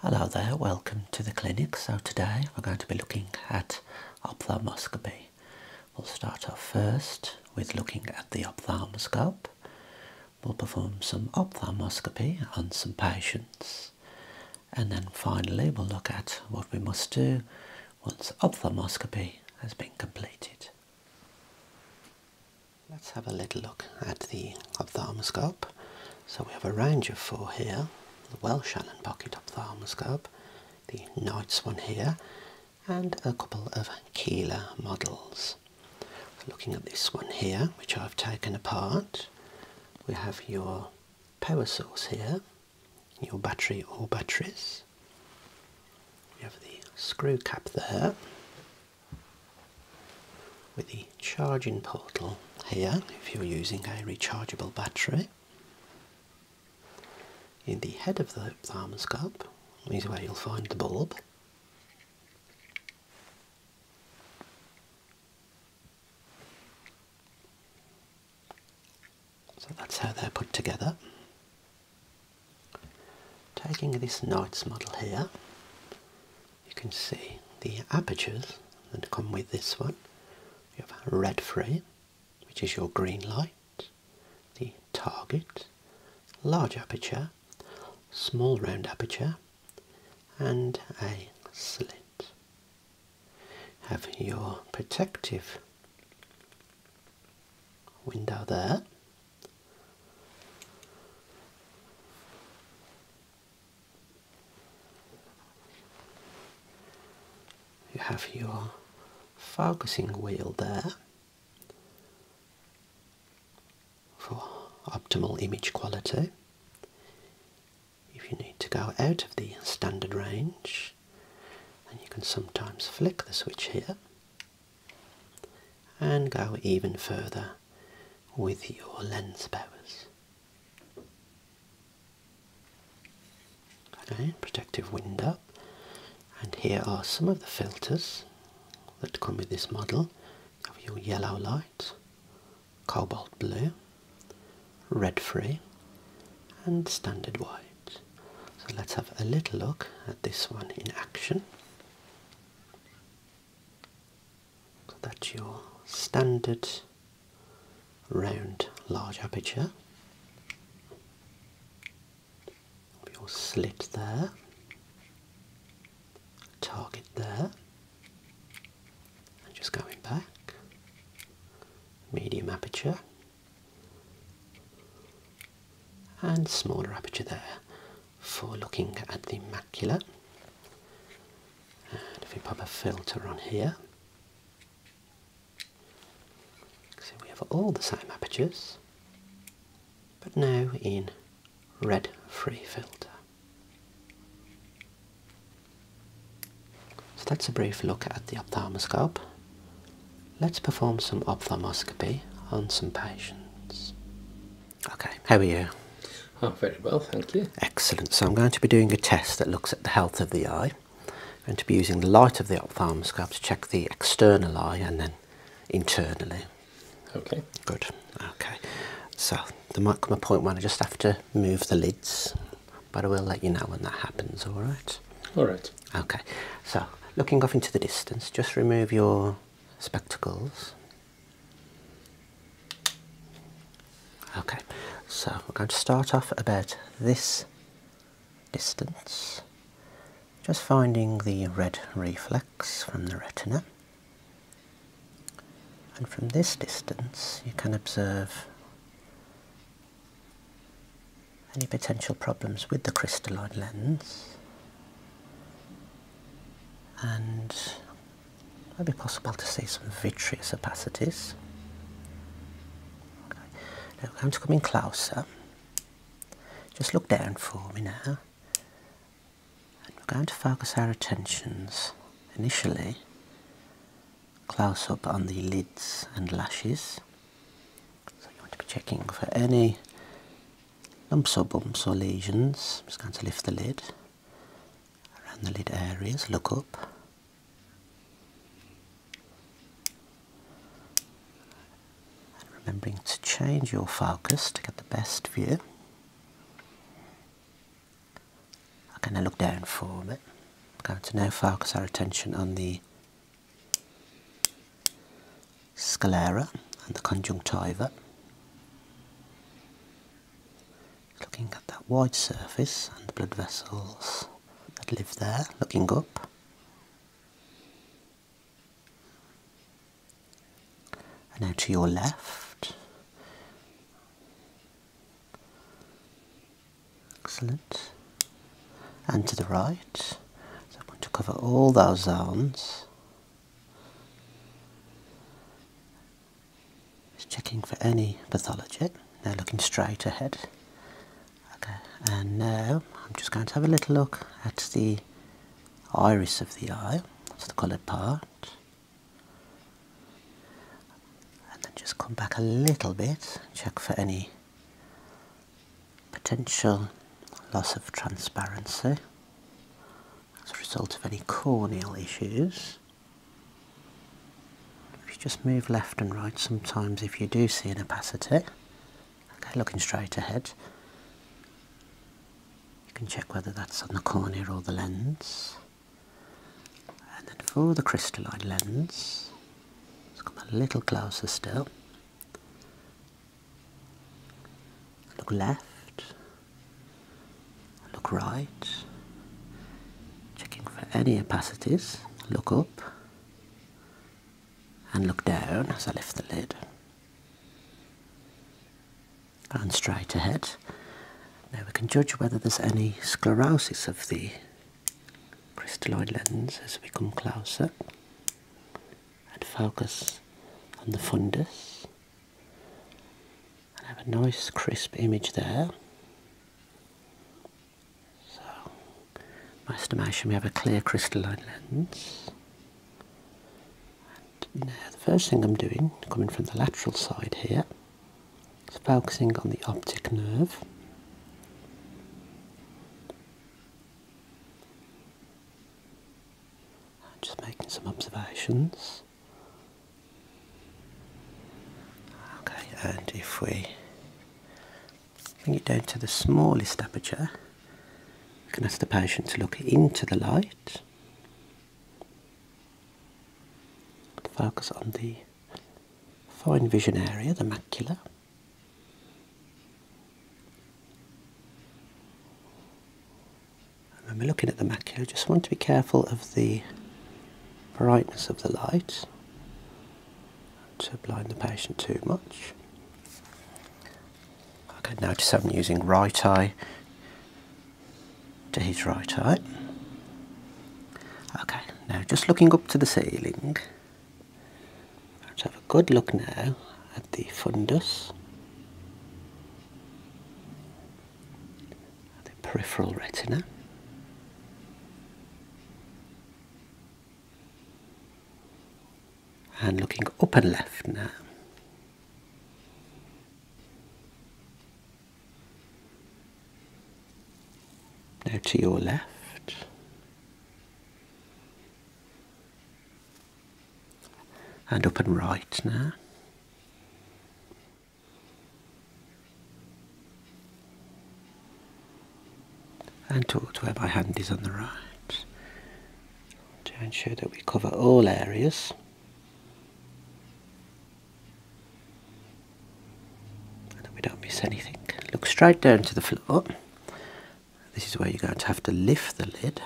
Hello there, welcome to the clinic. So today we're going to be looking at ophthalmoscopy. We'll start off first with looking at the ophthalmoscope. We'll perform some ophthalmoscopy on some patients. And then finally we'll look at what we must do once ophthalmoscopy has been completed. Let's have a little look at the ophthalmoscope. So we have a range of four here, the Welsh Allen Pocket ophthalmoscope, the Knights one here, and a couple of Keeler models. Looking at this one here, which I've taken apart, we have your power source here, your battery or batteries. We have the screw cap there, with the charging portal here if you're using a rechargeable battery. In the head of the thermoscope is where you'll find the bulb. So that's how they're put together. Taking this Knight's model here, you can see the apertures that come with this one. You have a red frame, which is your green light, the target, large aperture, small round aperture, and a slit. Have your protective window there. You have your focusing wheel there for optimal image quality. If you need to go out of the standard range, and you can sometimes flick the switch here and go even further with your lens powers. Okay, protective window, and here are some of the filters that come with this model of your yellow light, cobalt blue, red free, and standard white. So let's have a little look at this one in action. So that's your standard round large aperture. Your slit there, target there, and just going back, medium aperture, and smaller aperture there for looking at the macula. And if we pop a filter on here, so we have all the same apertures, but now in red free filter. So that's a brief look at the ophthalmoscope. Let's perform some ophthalmoscopy on some patients. Okay, how are you? Oh, very well, thank you. Excellent. So I'm going to be doing a test that looks at the health of the eye. I'm going to be using the light of the ophthalmoscope to check the external eye and then internally. Okay. Good. Okay. So the might come a point when I just have to move the lids, but I will let you know when that happens, all right? All right. Okay. So looking off into the distance, just remove your spectacles. Okay, so we're going to start off about this distance, just finding the red reflex from the retina. And from this distance, you can observe any potential problems with the crystalline lens and might be possible to see some vitreous opacities. Okay. Now I'm going to come in closer. Just look down for me now. And we're going to focus our attentions initially close up on the lids and lashes. So you want to be checking for any lumps or bumps or lesions. I'm just going to lift the lid around the lid areas, look up. And remembering to change your focus to get the best view. I'm Okay, now look down for me. I'm going to now focus our attention on the sclera and the conjunctiva. Looking at that wide surface and the blood vessels that live there, looking up. And now to your left. Excellent. And to the right. So I'm going to cover all those zones. Just checking for any pathology. Now looking straight ahead. Okay, and now I'm just going to have a little look at the iris of the eye, so the coloured part. And then just come back a little bit, check for any potential loss of transparency as a result of any corneal issues. If you just move left and right, sometimes if you do see an opacity, okay, looking straight ahead, you can check whether that's on the cornea or the lens. And then for the crystalline lens, let's come a little closer still. Look left, Look right. Checking for any opacities. Look up. And look down as I lift the lid. And straight ahead. Now we can judge whether there's any sclerosis of the crystalloid lens as we come closer and focus on the fundus I have a nice crisp image there. So, my estimation we have a clear crystalline lens. And now the first thing I'm doing, coming from the lateral side here, is focusing on the optic nerve. I'm just making some observations. Okay, and if we bring it down to the smallest aperture, we can ask the patient to look into the light, focus on the fine vision area, the macula. And when we're looking at the macchio, just want to be careful of the brightness of the light to blind the patient too much. Okay, notice I'm using right eye to his right eye. Okay, now just looking up to the ceiling. Let's have a good look now at the fundus the peripheral retina. And looking up and left now. Now to your left. And up and right now and towards where my hand is on the right to ensure that we cover all areas and we don't miss anything. Look straight down to the floor. This is where you're going to have to lift the lid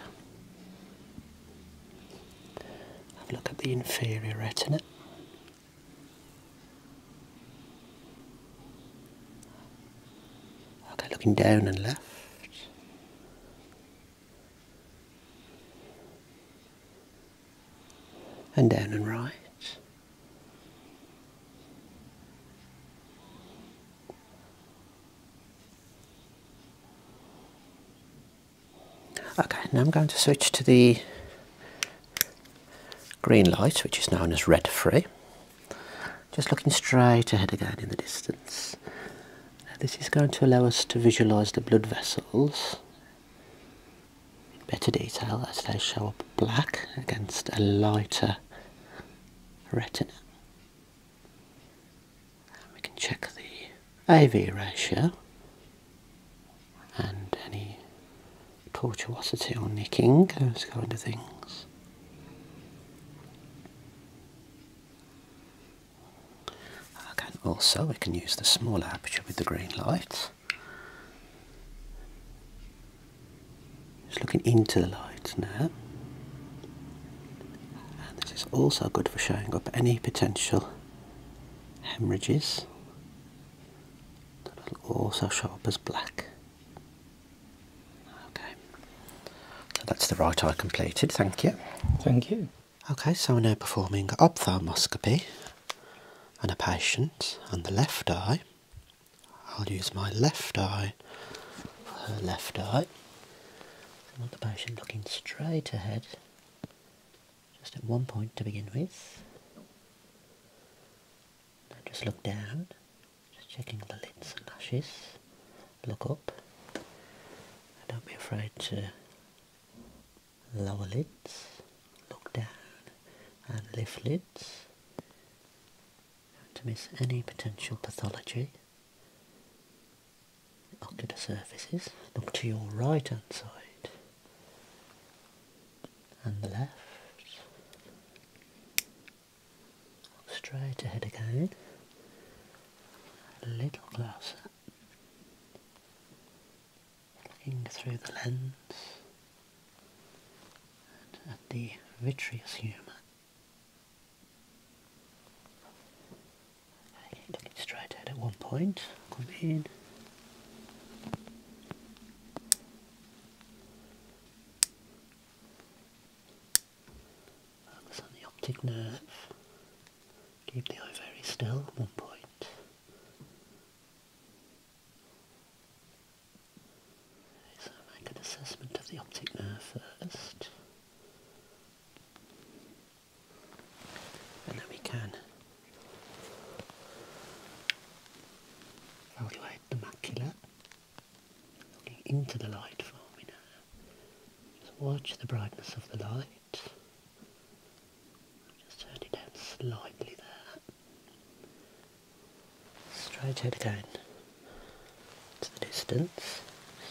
have a look at the inferior retina. Okay, looking down and left. And down and right. Okay, now I'm going to switch to the green light, which is known as red free. Just looking straight ahead again in the distance. this is going to allow us to visualise the blood vessels in better detail as they show up black against a lighter retina we can check the AV ratio and any tortuosity or nicking, those kind of things. Okay, also we can use the small aperture with the green light. Just looking into the light now. And this is also good for showing up any potential hemorrhages that'll also show up as black. Okay, that's the right eye completed. Thank you. Thank you. Okay, so we're now performing ophthalmoscopy on a patient and the left eye. I'll use my left eye for her left eye. I want the patient looking straight ahead just at one point to begin with. Now just look down, just checking the lids and lashes. Look up. don't be afraid to lower lids, look down and lift lids. Not to miss any potential pathology ocular surfaces. Look to your right hand side and the left. Look straight ahead again. A little closer. Looking through the lens and at the vitreous humour. Okay, take straight ahead at one point, come in. Focus on the optic nerve. Keep the eye very still at one point. so make an assessment of the optic nerve first and then we can evaluate the macula looking into the light for me now. Just watch the brightness of the light. Just turn it down slightly there. Straight ahead again to the distance.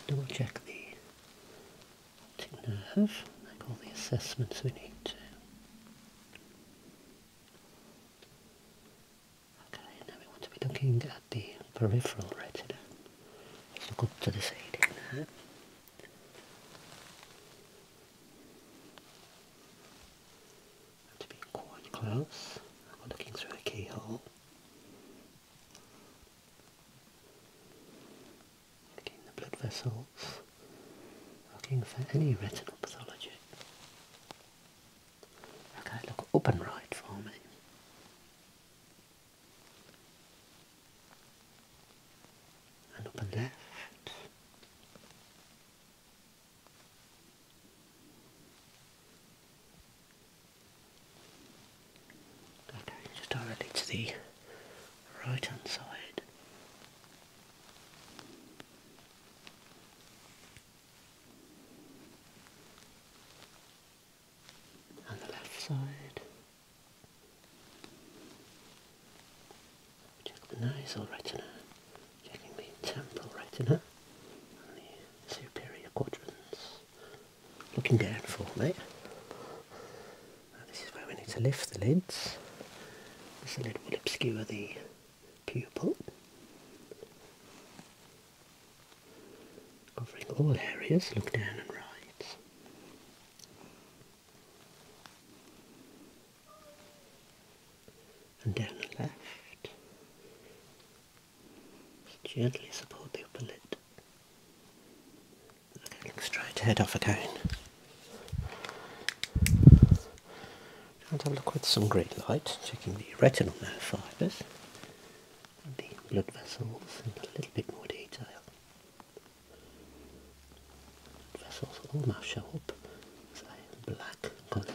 double check the to have, make all the assessments we need to. Okay, now we want to be looking at the peripheral retina. Let's look up to the side. to be quite close. looking through a keyhole looking the blood vessels, looking for any retinal pathology. Okay, look up right for me. And up left. just directly to the right hand side. And the left side. Check the nasal retina, checking the temporal retina and the superior quadrants. Looking down for me this is where we need to lift the lids. This lid will obscure the pupil, covering all areas, look down and right. And down and left. gently support the upper lid to head off again. And have a look with some great light, checking the retinal fibres the blood vessels and a little bit more detail. Blood vessels almost show up as a black colour.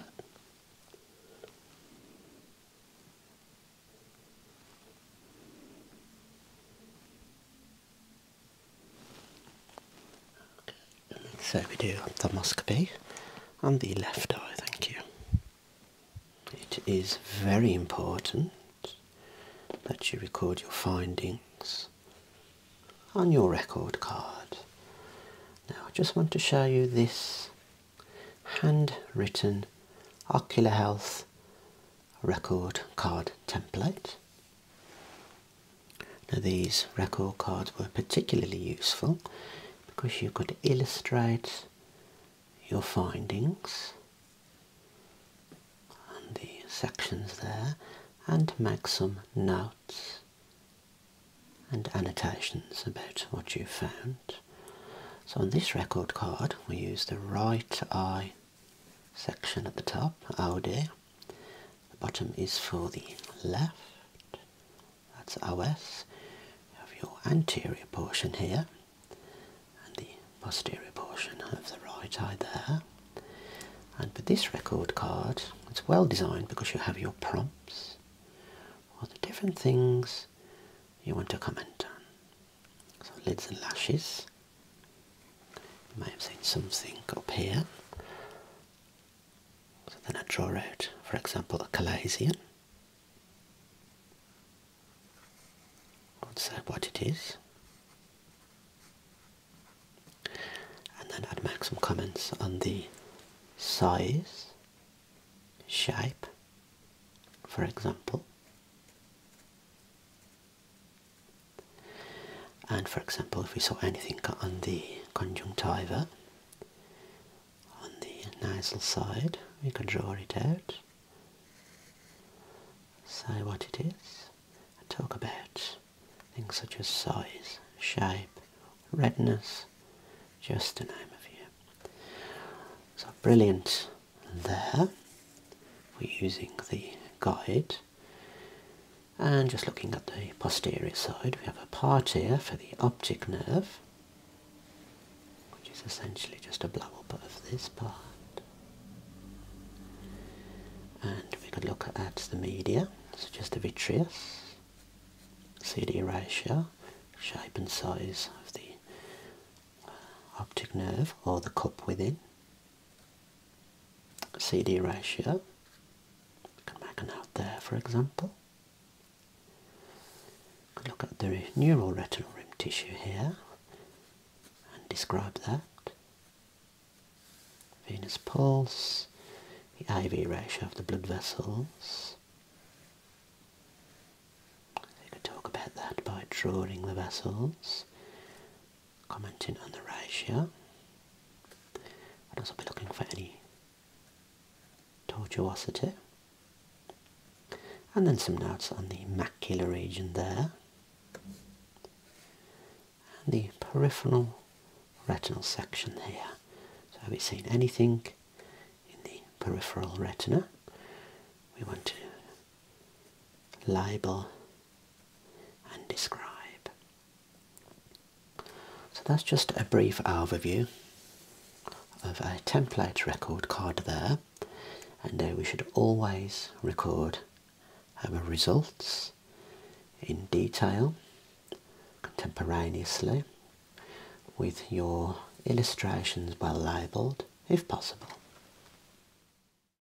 So we do endoscopy on the left eye, thank you. It is very important that you record your findings on your record card. Now I just want to show you this handwritten ocular health record card template. Now these record cards were particularly useful because you could illustrate your findings and the sections there and make some notes and annotations about what you found. So on this record card we use the right eye section at the top, Aude. The bottom is for the left, that's OS. You have your anterior portion here, and the posterior portion of the right eye there. And with this record card, it's well designed because you have your prompts, for the different things you want to comment on. So lids and lashes. You have seen something up here. So then I draw out, for example, a Calasian. I would say what it is. And then I'd make some comments on the size, shape, for example. And for example, if we saw anything on the conjunctiva, on the nasal side, we could draw it out, say what it is, talk about things such as size, shape, redness, just to name a few. So brilliant there. We're using the guide and just looking at the posterior side, we have a part here for the optic nerve, which is essentially just a blow up of this part. And we could look at the media, so just the vitreous, see the ratio, shape and size of the uh, optic nerve or the cup within. CD ratio. We can make a there, for example. look at the neural retinal rim tissue here and describe that. Venous pulse, the IV ratio of the blood vessels. We could talk about that by drawing the vessels commenting on the ratio. I'd also be looking for any tortuosity. And then some notes on the macular region there. And the peripheral retinal section here. So have we seen anything in the peripheral retina? We want to label and describe. So that's just a brief overview of a template record card there and uh, we should always record our results in detail contemporaneously with your illustrations well labelled if possible.